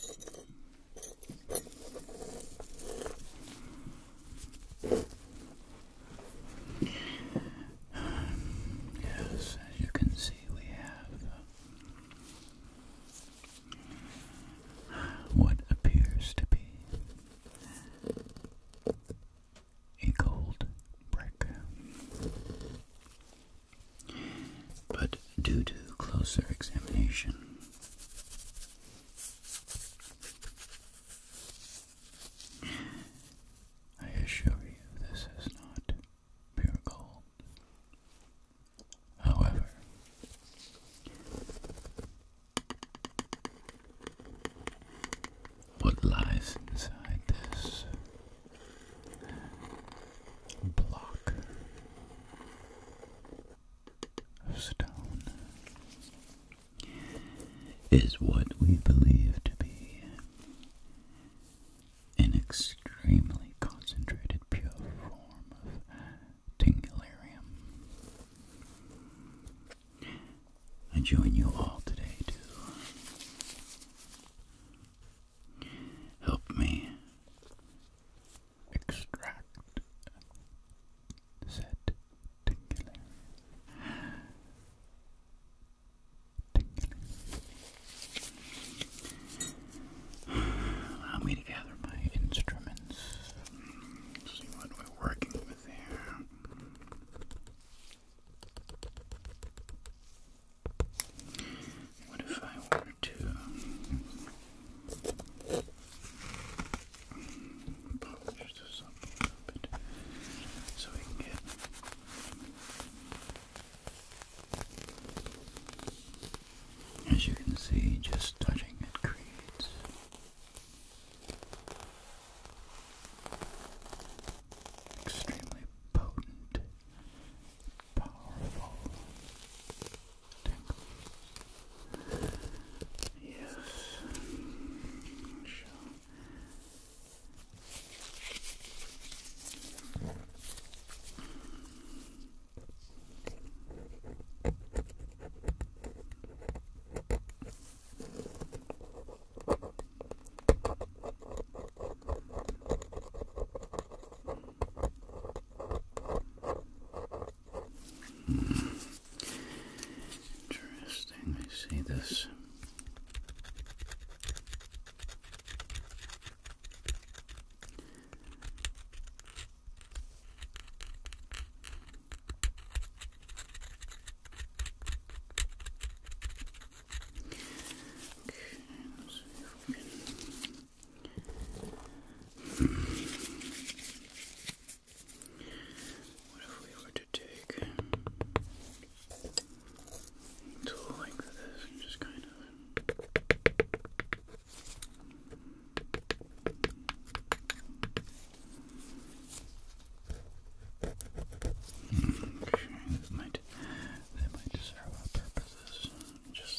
yes, as you can see, we have uh, what appears to be a gold brick. But due to closer examination, I assure you this is not pure gold. However, what lies inside this block of stone is what we believe to be an extremely concentrated pure form of tingularium. I join you all today to help me extract said tingling. tingling. Allow me to gather my instruments. See what we're working with here. What if I were to polish this up a little bit so we can get as you can see, just touching it creates extremely potent powerful tingles. Yes, sure. Hmm. Interesting. let's see if we what if we were to take the length of this and just kind of that might, that might serve our purposes. Just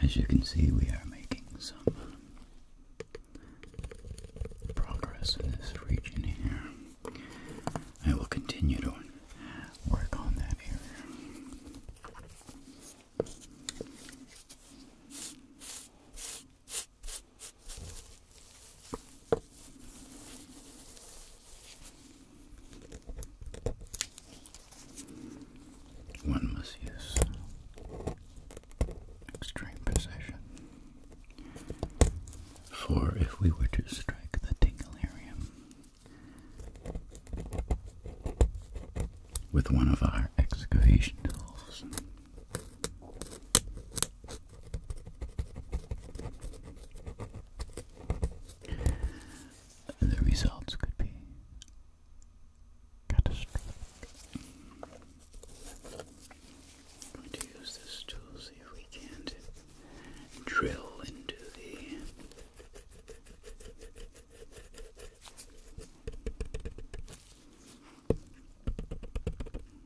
As you can see, we are making some progress in this region here. I will continue to work on that area. One must use extreme precision. For if we were to strike the Tingularium with one of our excavation tools, the results could be catastrophic. going to use this tool, see if we can't drill into the Okay,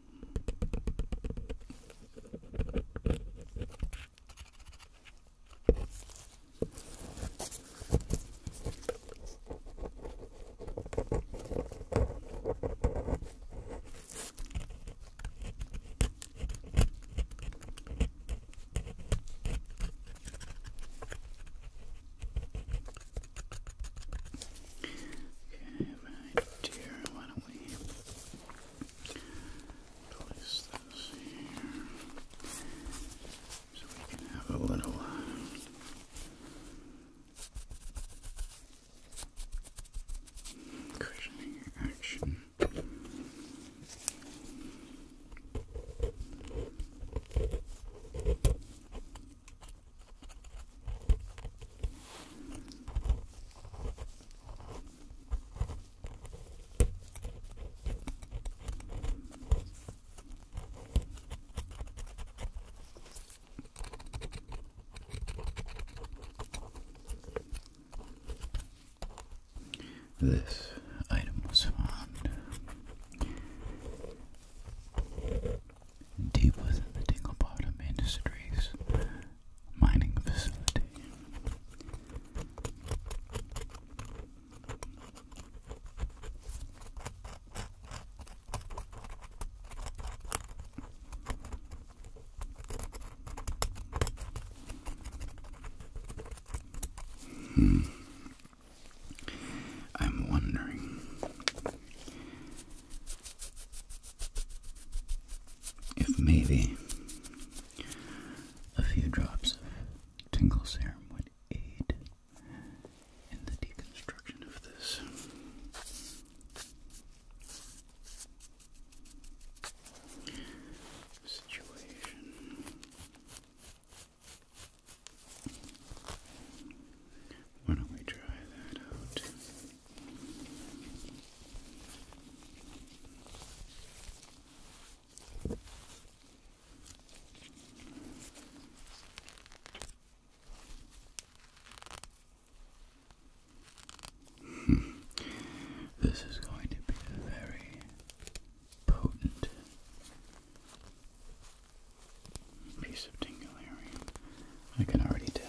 I have finally place so we can have a little uh, cushioning action. This item was found deep within the Dinglebottom Industries mining facility. Hmm. I'm wondering if maybe a few drops of tingle serum would aid in the deconstruction of this. Situation. Why don't we try that out? Hmm. this is going to be a very potent piece of tingling. I can already tell.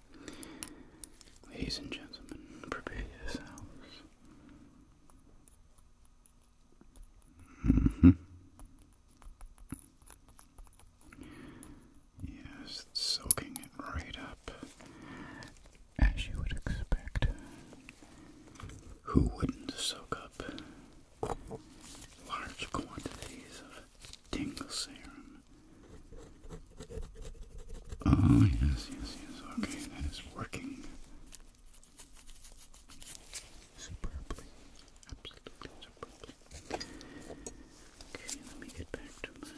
Ladies and gentlemen, prepare yourselves. Mm-hmm. Yes, soaking it right up, as you would expect. Who wouldn't soak up large quantities of tingle serum? Oh, yes, yes, yes. Okay, that is working superbly. Absolutely superbly. Okay, let me get back to my.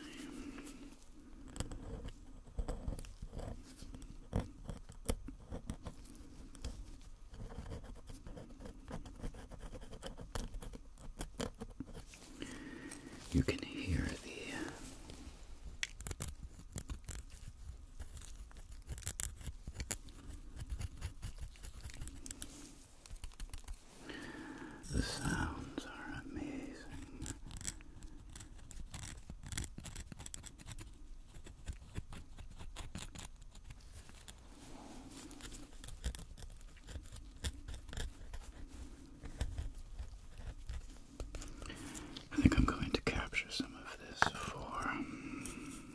You can hear the the sounds are amazing. I think I'm going to capture some of this for um,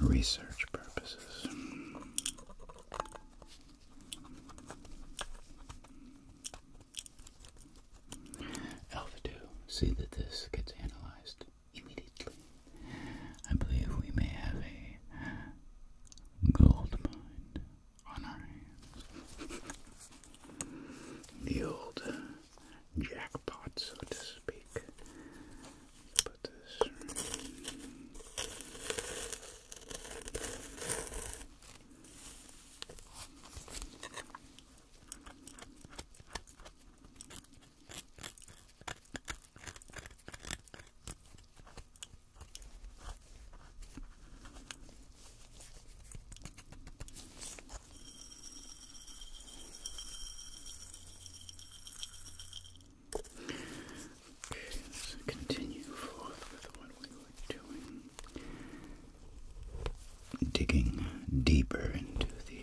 research purposes. Alpha 2, see that this gets analyzed immediately. I believe we may have a gold mine on our hands. The old jackpot, so to speak. Put this Okay, so continue forth with what we were doing. Digging deeper into the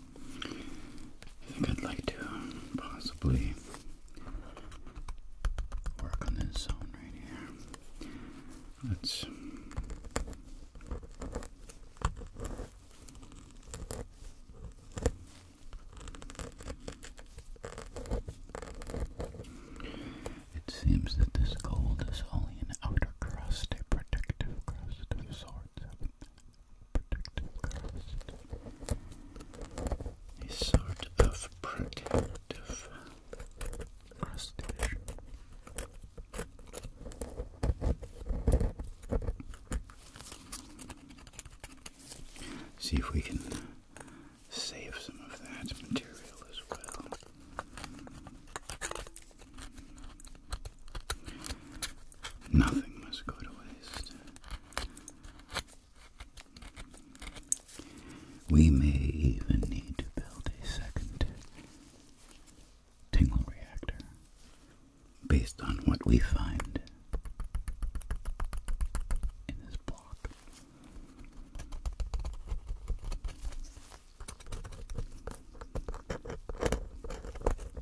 I think I'd like to um, possibly work on this zone right here. Let's it seems that this gold is only an outer crust, a protective crust of sorts a sort of protective crustacean. See if we can save some of that material as well. Nothing must go to waste. We may even need to build a second tingle reactor based on what we find in this block.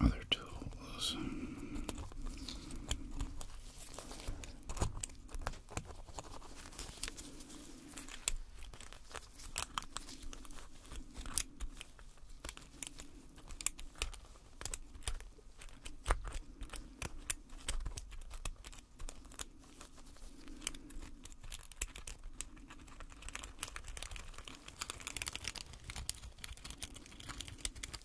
other tools. I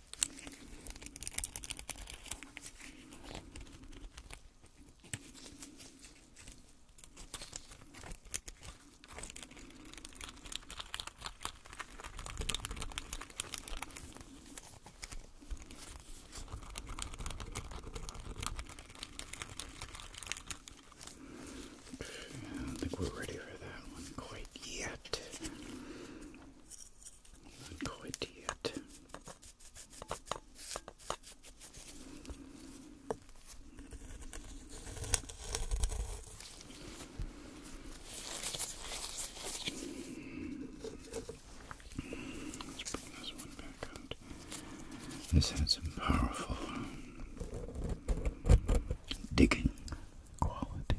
don't think we're ready for that one quite yet quite yet. Let's bring this one back out. This had some powerful digging qualities.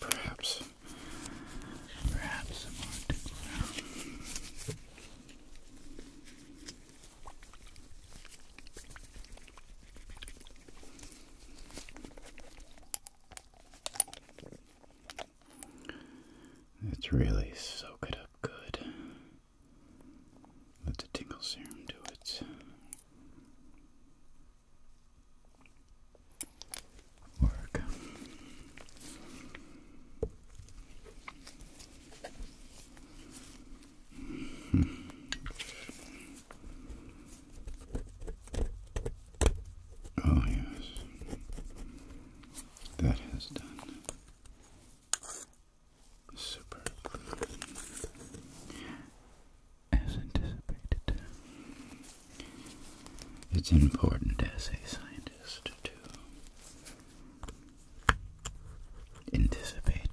Perhaps, perhaps a really soak it up good. Let the tingle serum do it. Work. Oh, yes, that has done super as anticipated. It's important as a scientist to anticipate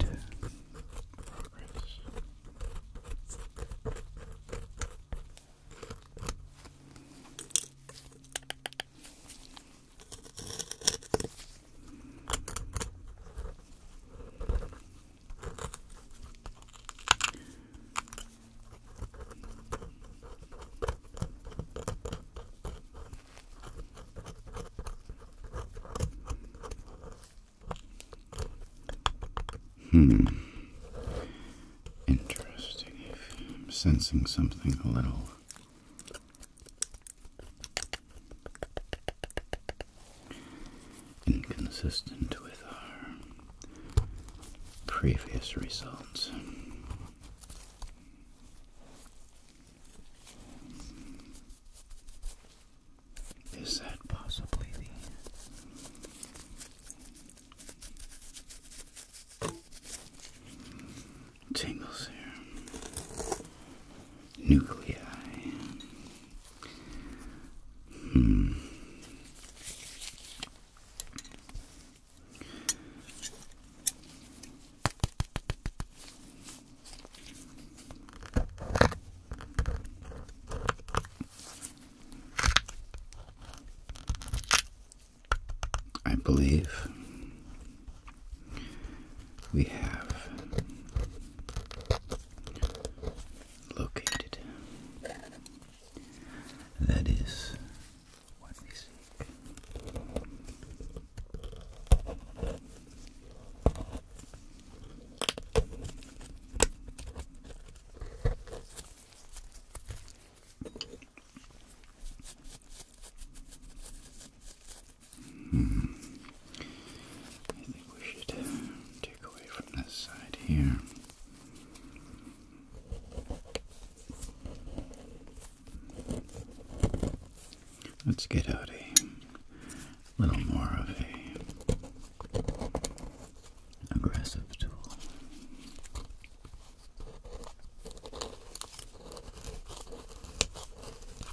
Hmm. Interesting. I'm sensing something a little Inconsistent with our previous results. Is that possibly the tangles there. Nuclei. Hmm. I believe we have located. That is what we seek. Hmm. I think we should um, take away from this side here. Let's get out a little more of a aggressive tool.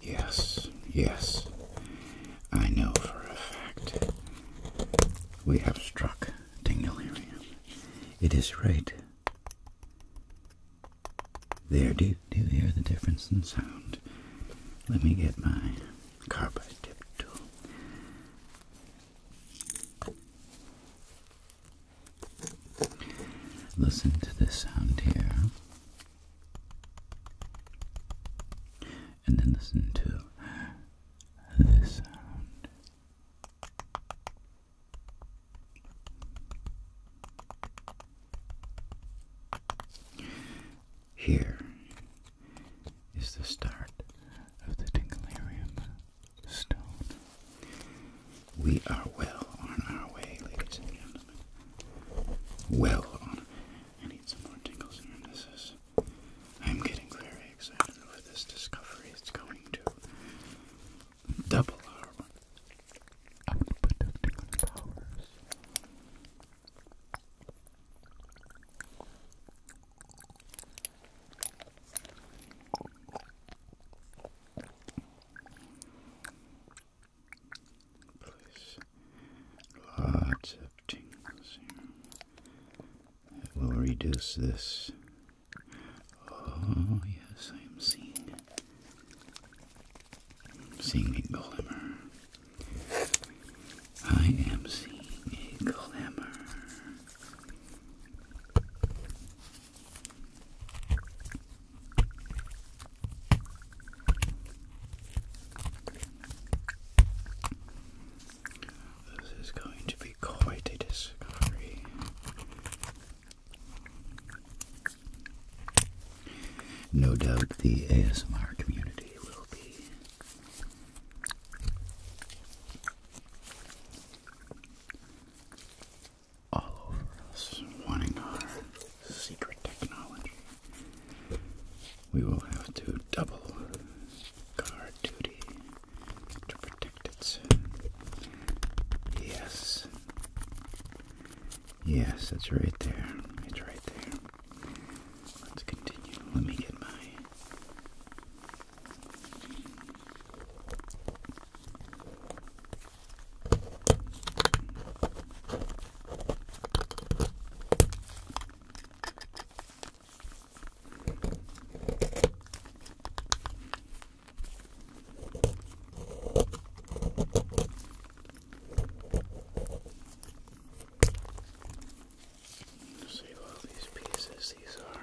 Yes, yes, I know for a fact. We have struck Dinglerium. It is right. There, do you hear the difference in sound? Let me get my carbide tip tool. Listen to this sound here and then listen to this sound. Here is the start of the Tinkalarium stone. We are well on our way, ladies and gentlemen. Well on I need some more tingles my reminiscences. I'm getting very excited over this discovery. It's going to double our output powers place. Lots of tingles It will reduce this. Oh, yes, I am seeing seeing a glimmer. I am seeing a glimmer. This is going to be quite a discovery. No doubt the ASMR community will be all over us, wanting secret technology, we will have to double guard duty to protect it. Yes. Yes, it's right there. It's right there. Let's continue. Let me get my. Save all these pieces, these are.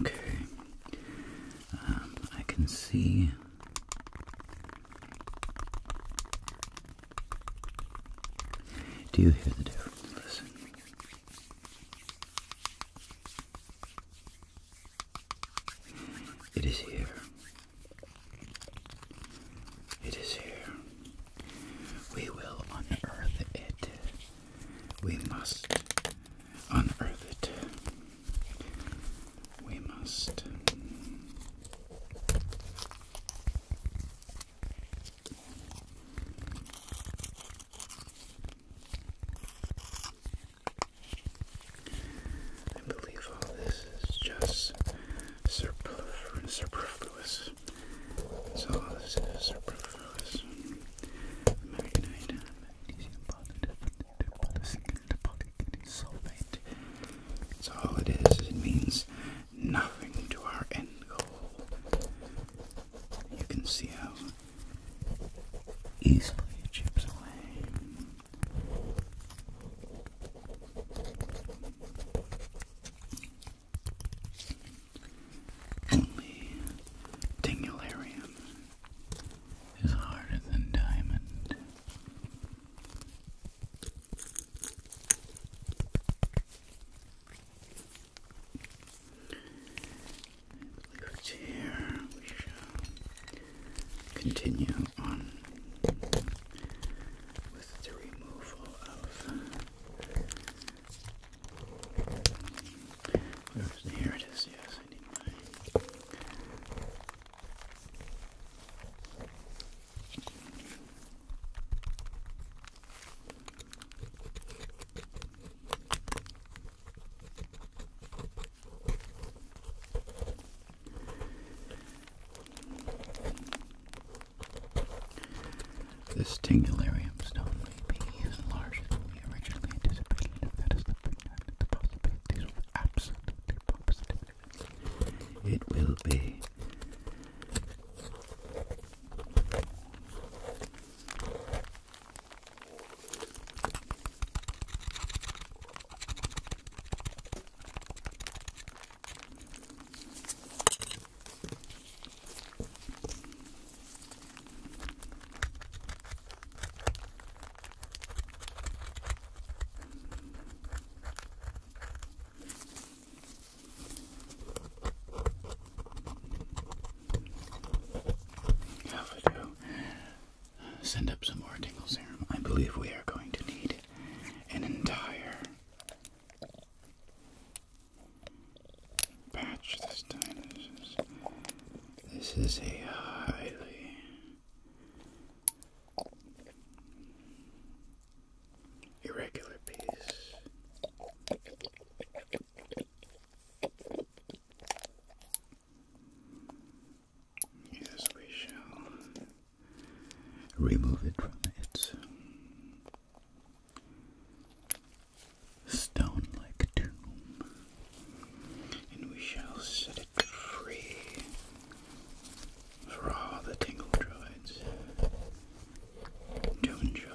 Okay, um, I can see do you hear the difference? Listen. It is here. It is here. We will unearth it. We must unearth it. We must. I believe all this is just superflu superfluous. So all this is superfluous. Magnite, magnesium, polysilicate, sulfate. So all it is, it means nothing to our end goal. You can see how easily chips away. Only Tingularium is harder than diamond here. We shall continue on with the removal of. Here it is. Yes, I this is not may be even larger than we originally anticipated, that is the fact that the possibilities absolutely positive. It will be how do send up some more tingle serum. I believe we are going to need an entire batch this time. This is, this is a highly irregular piece. Yes, we shall remove it from its stone like tomb, and we shall set it free for all the tingle droids to enjoy.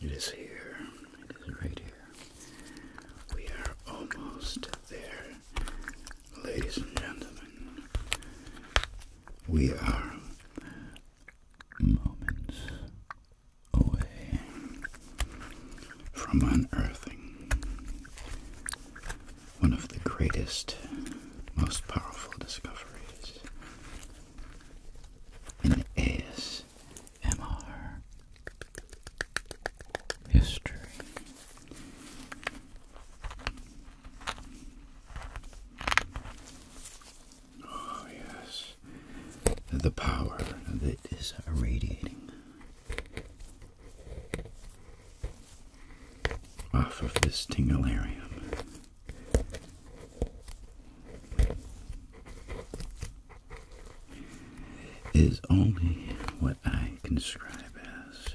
It is here. It is right here. We are almost there. Ladies and gentlemen, we are moments away from unearthing one of the greatest, most powerful discoveries in ASMR history. Oh, yes. The power that is radiating off of this tinglearium. Is only what I can describe as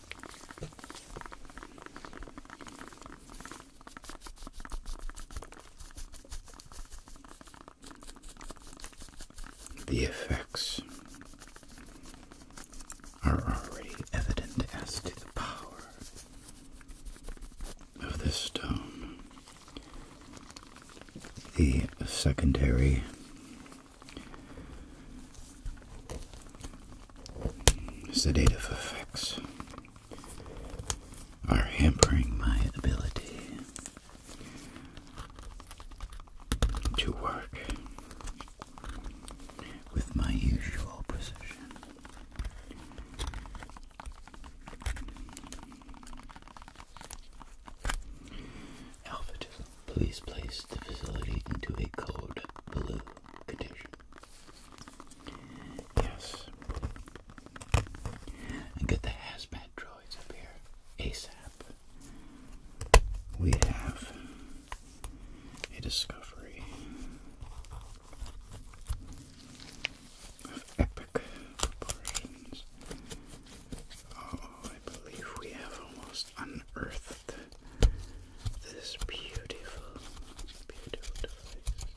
The effects are already evident as to the power of this stone. The secondary Sedative effects are hampering my ability to work with my usual precision. Alpha Please place the facility into a code blue condition. Yes. And get the hazmat droids up here ASAP. We have a discovery of epic proportions. Oh, I believe we have almost unearthed this beautiful, beautiful device.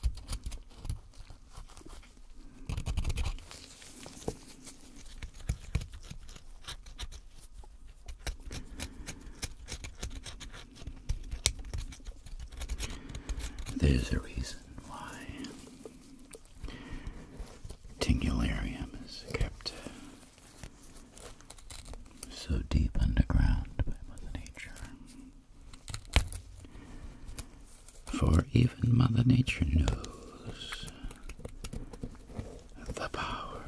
There's a reason why Tingularium is kept so deep underground Mother Nature. For even Mother Nature knows the power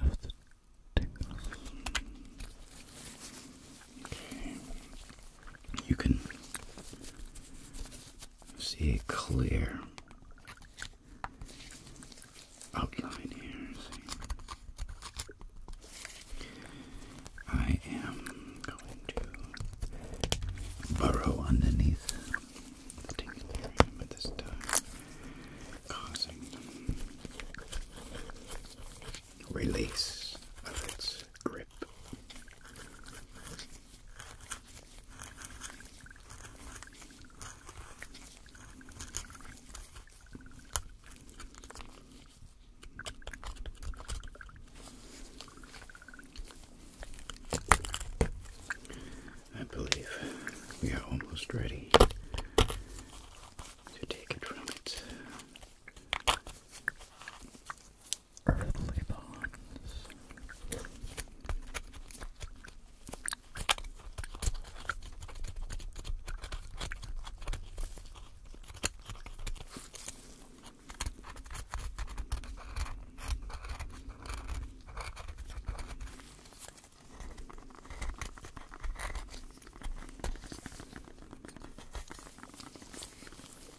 of the tingles. You can see a clear outline here. I am going to burrow underneath the this time, causing release of its grip. I believe we are almost ready to take it from it earthly bonds.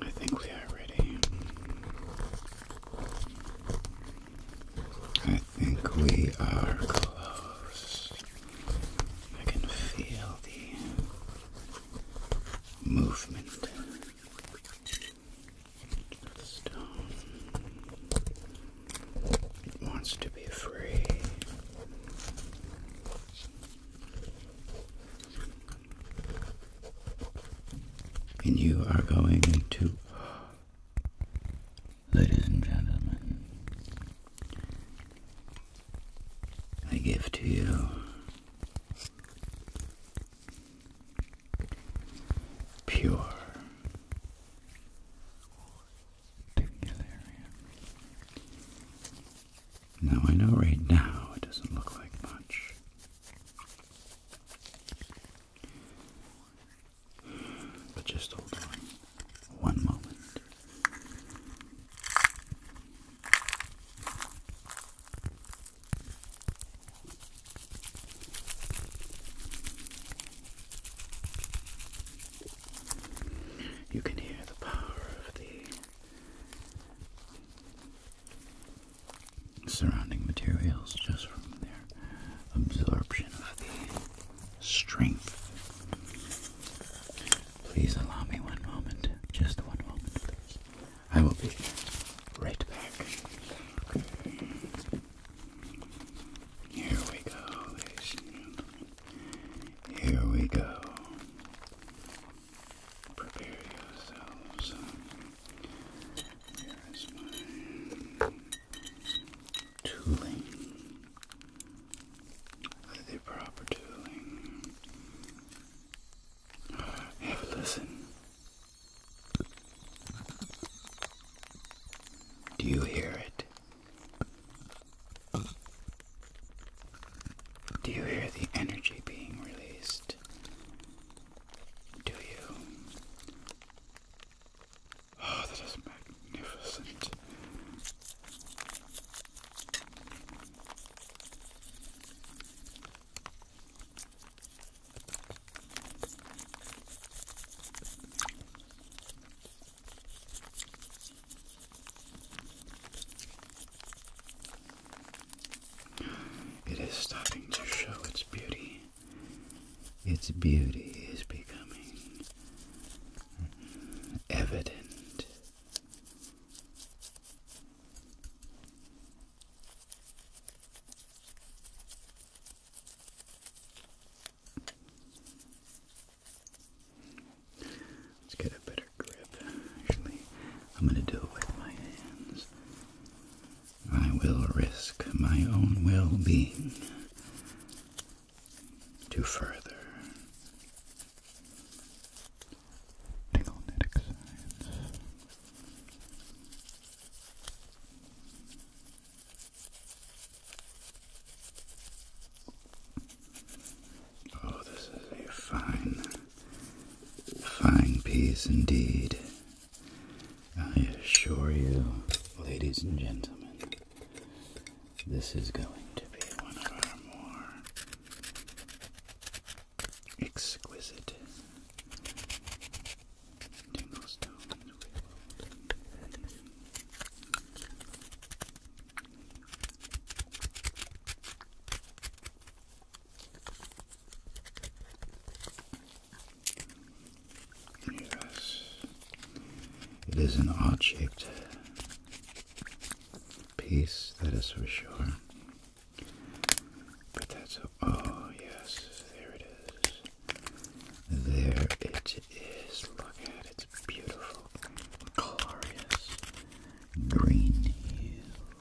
I think we are ready. I think we are close. I can feel the movement of stone. wants to be free. And you are going to, ladies and gentlemen, I give to you pure now I know right now it doesn't look like much. But just hold on one moment. You can hear the power of the surrounding materials just from their absorption of the strength. Please allow me one moment, just one moment, please. I will be right back. Here we go, Here we go prepare yourselves. Um, Here is my tooling. The proper tooling. Have a listen. Do you hear it? Do you hear the energy being released? Do you? Oh, that is magnificent. It is starting to show its beauty. Its beauty is becoming evident. Let's get a better grip. Actually, I'm going to do it with my hands. I will risk my own well-being to further tickle-netic science. Oh, this is a fine, fine piece indeed. I assure you, ladies and gentlemen, this is going to be one of our more exquisite tingle Yes, it is an odd shaped piece, that is for sure. But that's oh, yes, there it is. There it is. Look at it's beautiful, glorious green hue.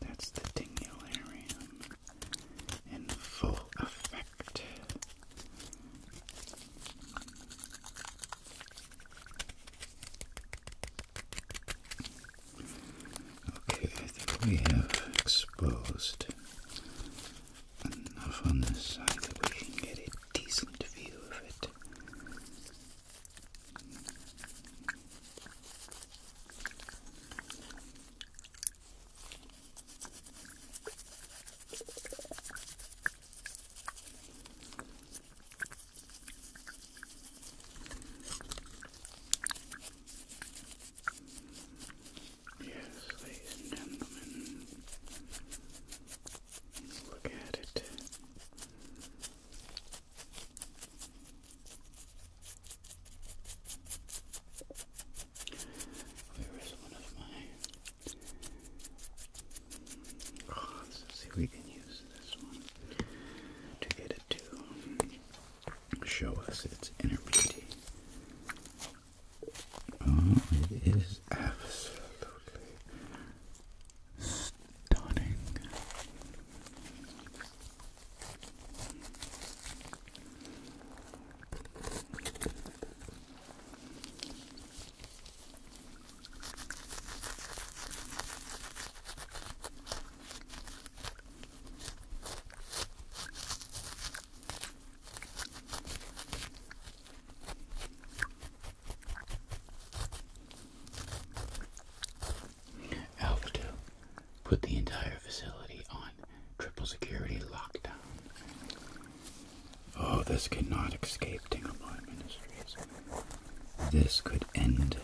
That's the dingularium in full effect. Okay, I think we have exposed enough on this side that we can get a decent view of it. Yes, ladies and gentlemen, look at it. Where is one of my? Oh, let's see if we can use this one to get it to show us its inner beauty. Oh, it is absolutely stunning. Alpha 2 put the entire facility on triple security lockdown. Oh, this cannot not escape Dinglebot Ministries. This could end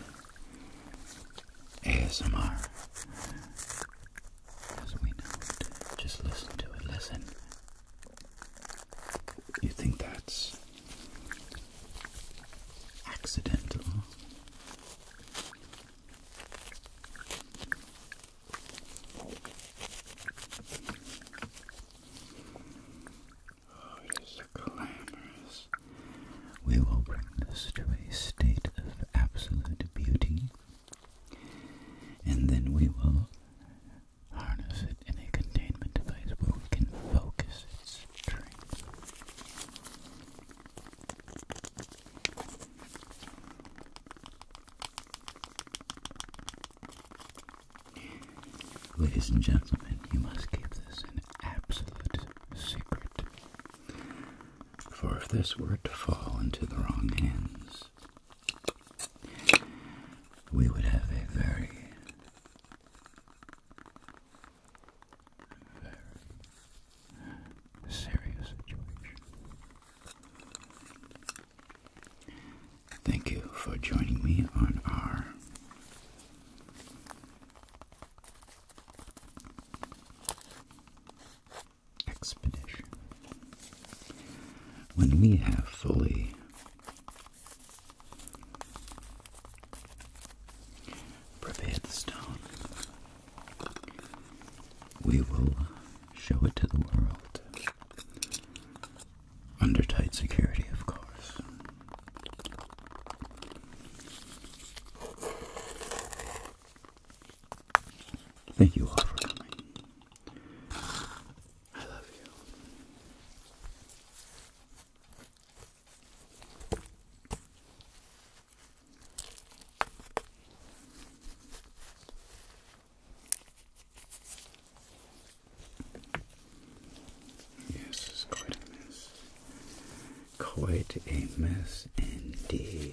ASMR as we know it. Just listen to it. Listen. You think that's accidental. Oh, it's glamorous. We will bring this to a state of absolute beauty, and then we will harness it in a containment device where we can focus its Ladies and gentlemen, you must keep this an absolute secret. For if this were to fall into the wrong hands, we would have a very very serious situation. Thank you for joining me on our expedition. When we have fully Prepare the stone. We will uh, show it to the world. Under tight security, of course. Thank you all for coming. I love you. Yes, it's quite a mess. Quite a mess indeed.